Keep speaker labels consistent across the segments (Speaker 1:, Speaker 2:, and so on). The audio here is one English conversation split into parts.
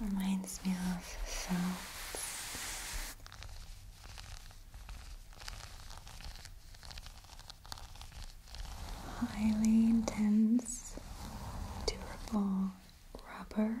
Speaker 1: Reminds me of sounds. Highly intense, durable rubber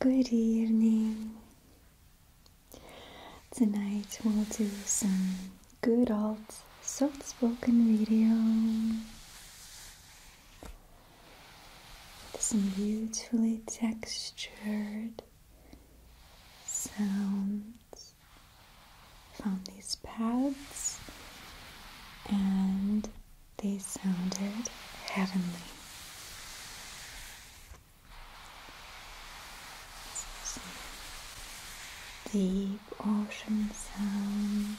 Speaker 1: Good evening. Tonight we'll do some good old soft spoken video. with some beautifully textured sounds from these pads, and they sounded heavenly deep ocean sounds.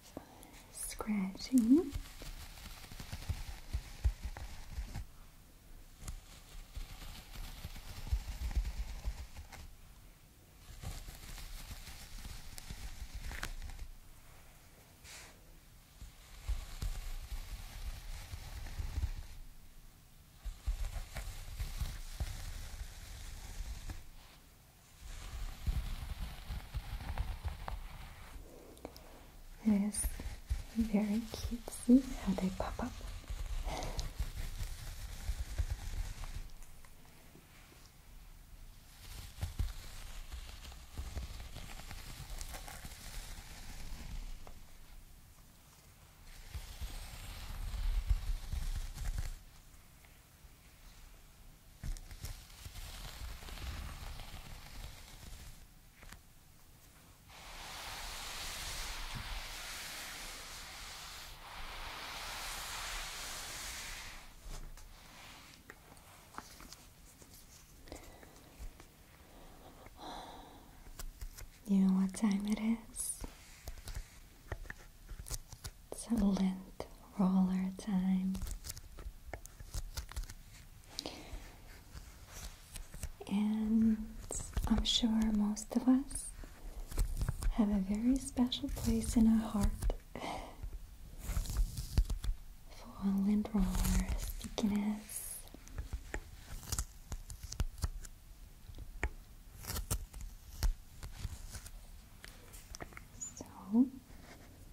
Speaker 1: of scratching. It is very cute. See how they pop up. You know what time it is? It's Lent roller time. And I'm sure most of us have a very special place in our heart for lint roller stickiness. So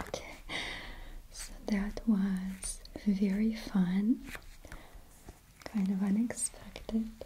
Speaker 1: Okay, so that was very fun, kind of unexpected.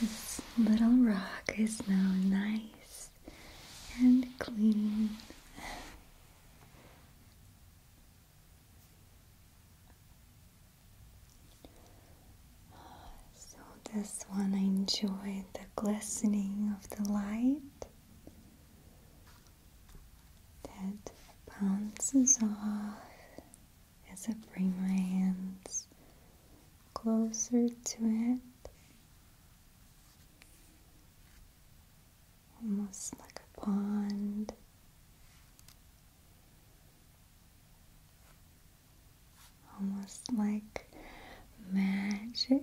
Speaker 1: This little rock is now nice and clean so, this one I enjoy the glistening of the light that bounces off as I bring my hands closer to it almost like a pond. Almost like magic.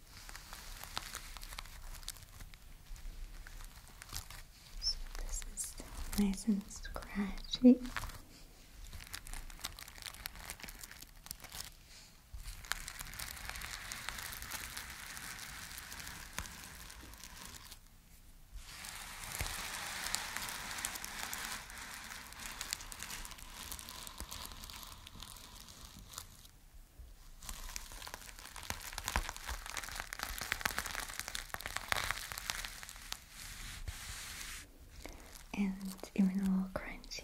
Speaker 1: So this is still nice and scratchy and even a little crunchy.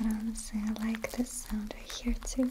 Speaker 1: I do But say I like this sound right here too.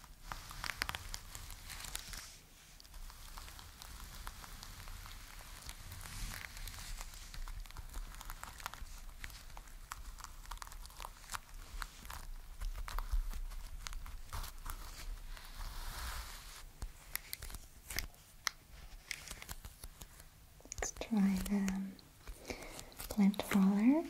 Speaker 1: Let's try the plant color.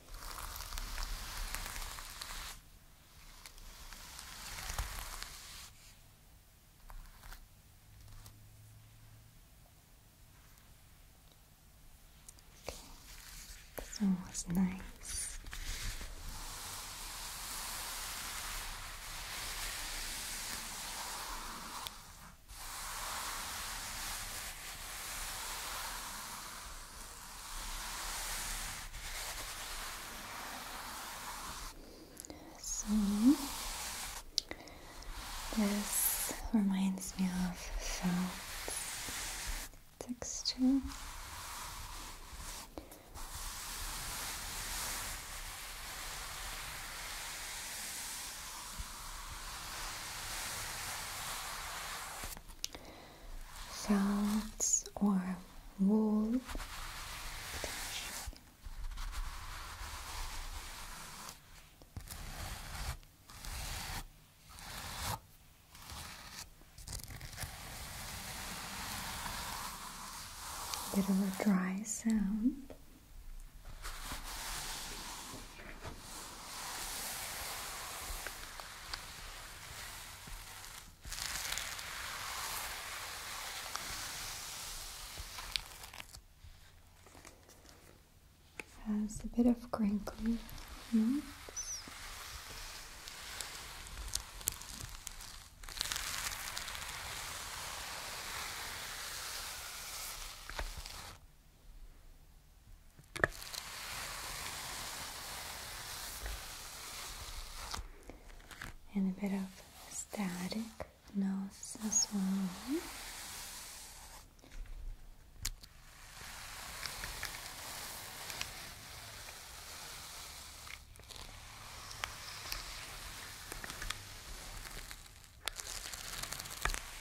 Speaker 1: Okay. This one was nice. Okay. So, this reminds me of felt texture salts or wool. Bit of a dry sound. Has a bit of crinkly notes and a bit of static noise as well.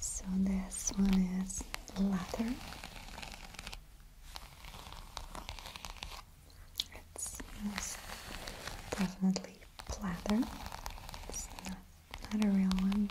Speaker 1: So this one is leather. It's definitely leather. not a real one.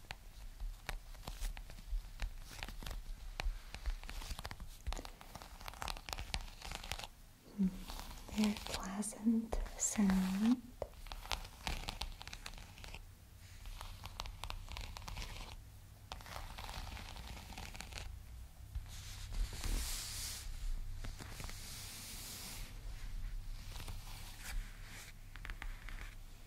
Speaker 1: Mm, pleasant sound.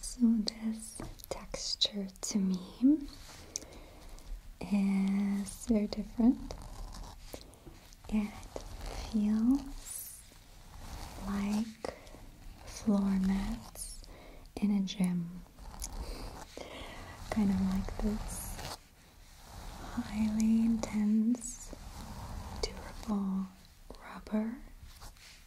Speaker 1: so this texture to me is very different it feels like floor mats in a gym kind of like this highly intense durable rubber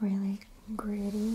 Speaker 1: really gritty.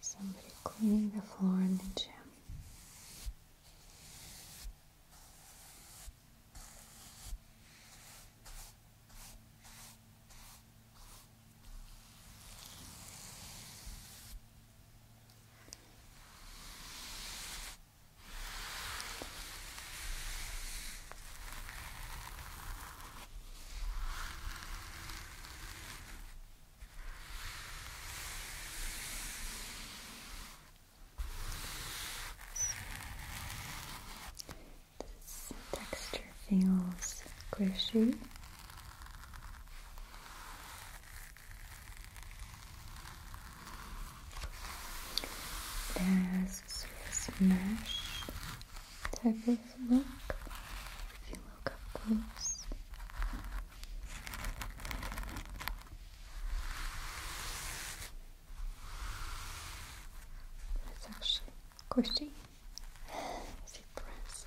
Speaker 1: Somebody cleaning the floor in the gym. This texture feels squishy. It has Swiss mesh type of look if you look up close. that's actually squishy as you press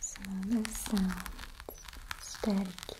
Speaker 1: São dançantes. Um Espero que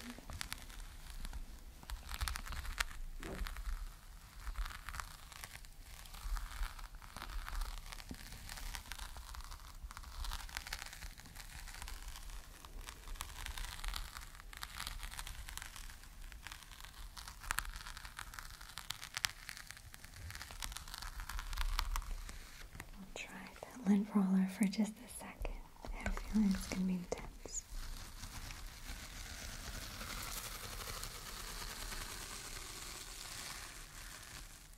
Speaker 1: I'll try that lint roller for just a second. I have a feeling it's going to be intense.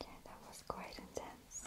Speaker 1: Yeah, that was quite intense.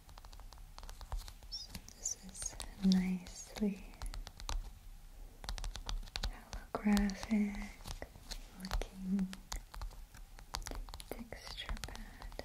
Speaker 1: this is nicely holographic looking texture pad.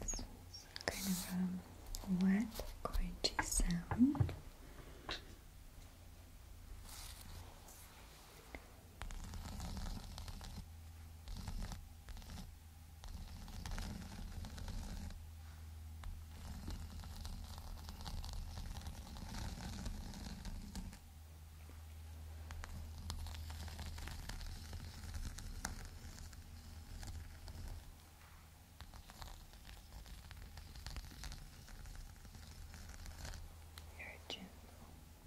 Speaker 1: This kind of a wet, crunchy sound. Very gentle. Very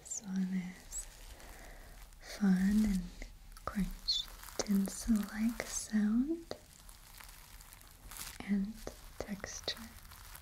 Speaker 1: This one is fun and crunch dense like sound and texture.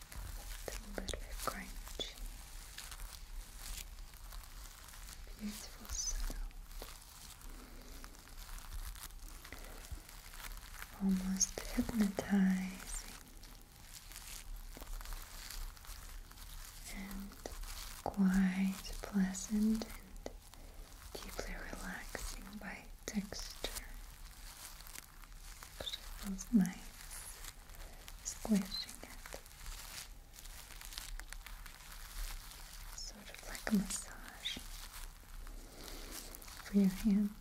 Speaker 1: a little bit crunchy. Beautiful sound. Almost hypnotizing and quite pleasant and deeply relaxing by texture. It feels nice squishing it. Sort of like a massage for your hands.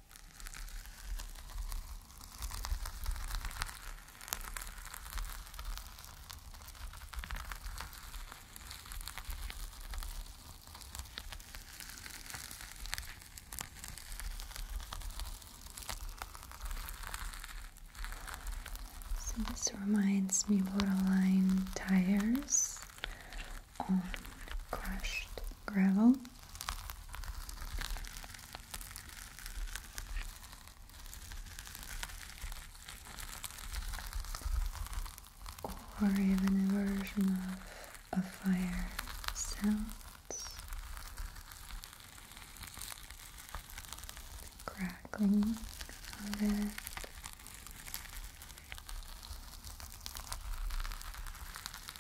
Speaker 1: So this reminds me of line Tires on crushed gravel or even a version of a fire sounds crackling of it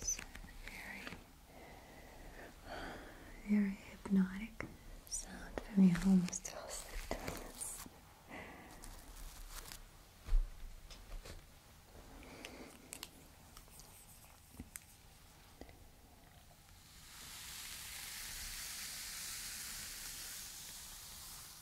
Speaker 1: It's very, very hypnotic sound for me. I almost fell asleep doing this.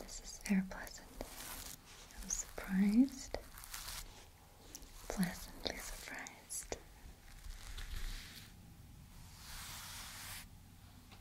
Speaker 1: This is very pleasant. I'm surprised, pleasantly surprised.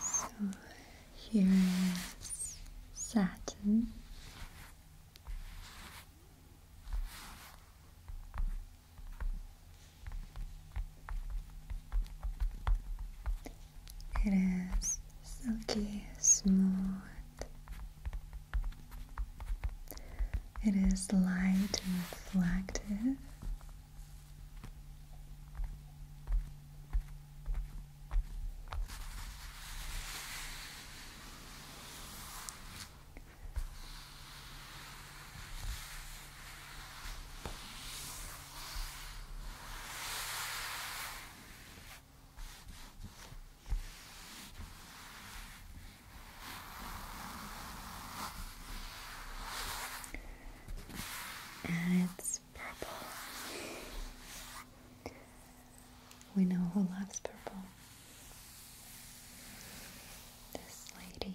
Speaker 1: So here is satin. It is silky smooth. It is light and reflective it's purple. We know who loves purple. This lady.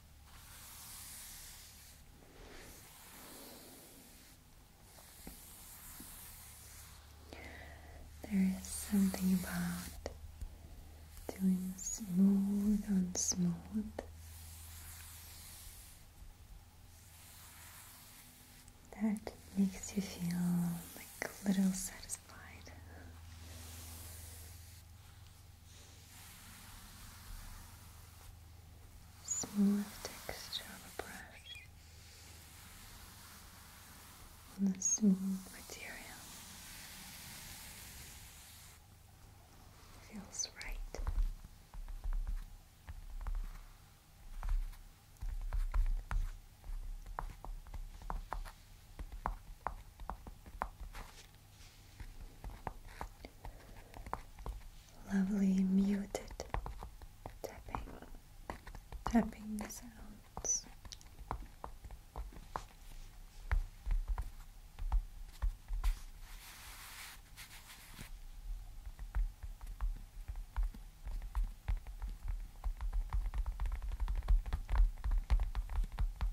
Speaker 1: There is something about doing smooth on smooth that makes you feel like a little satisfied smooth texture of a brush on the smooth material feels right lovely muted tapping, tapping sounds.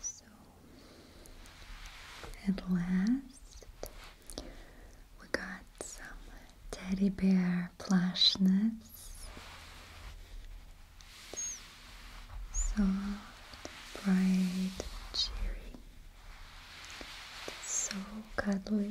Speaker 1: So at last we got some teddy bear plushness. Soft, bright, cheery. It's so cuddly.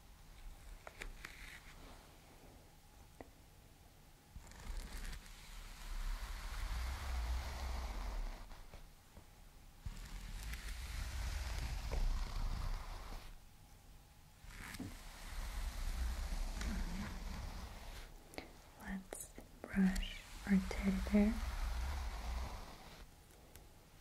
Speaker 1: Let's brush our teddy bear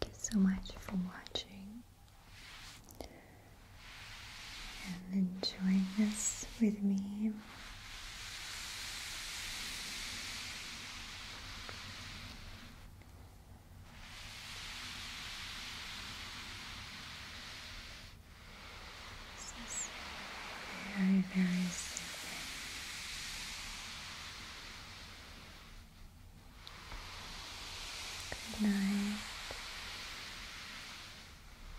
Speaker 1: Thank you so much for watching and enjoying this with me. This is very, very soothing. Good night.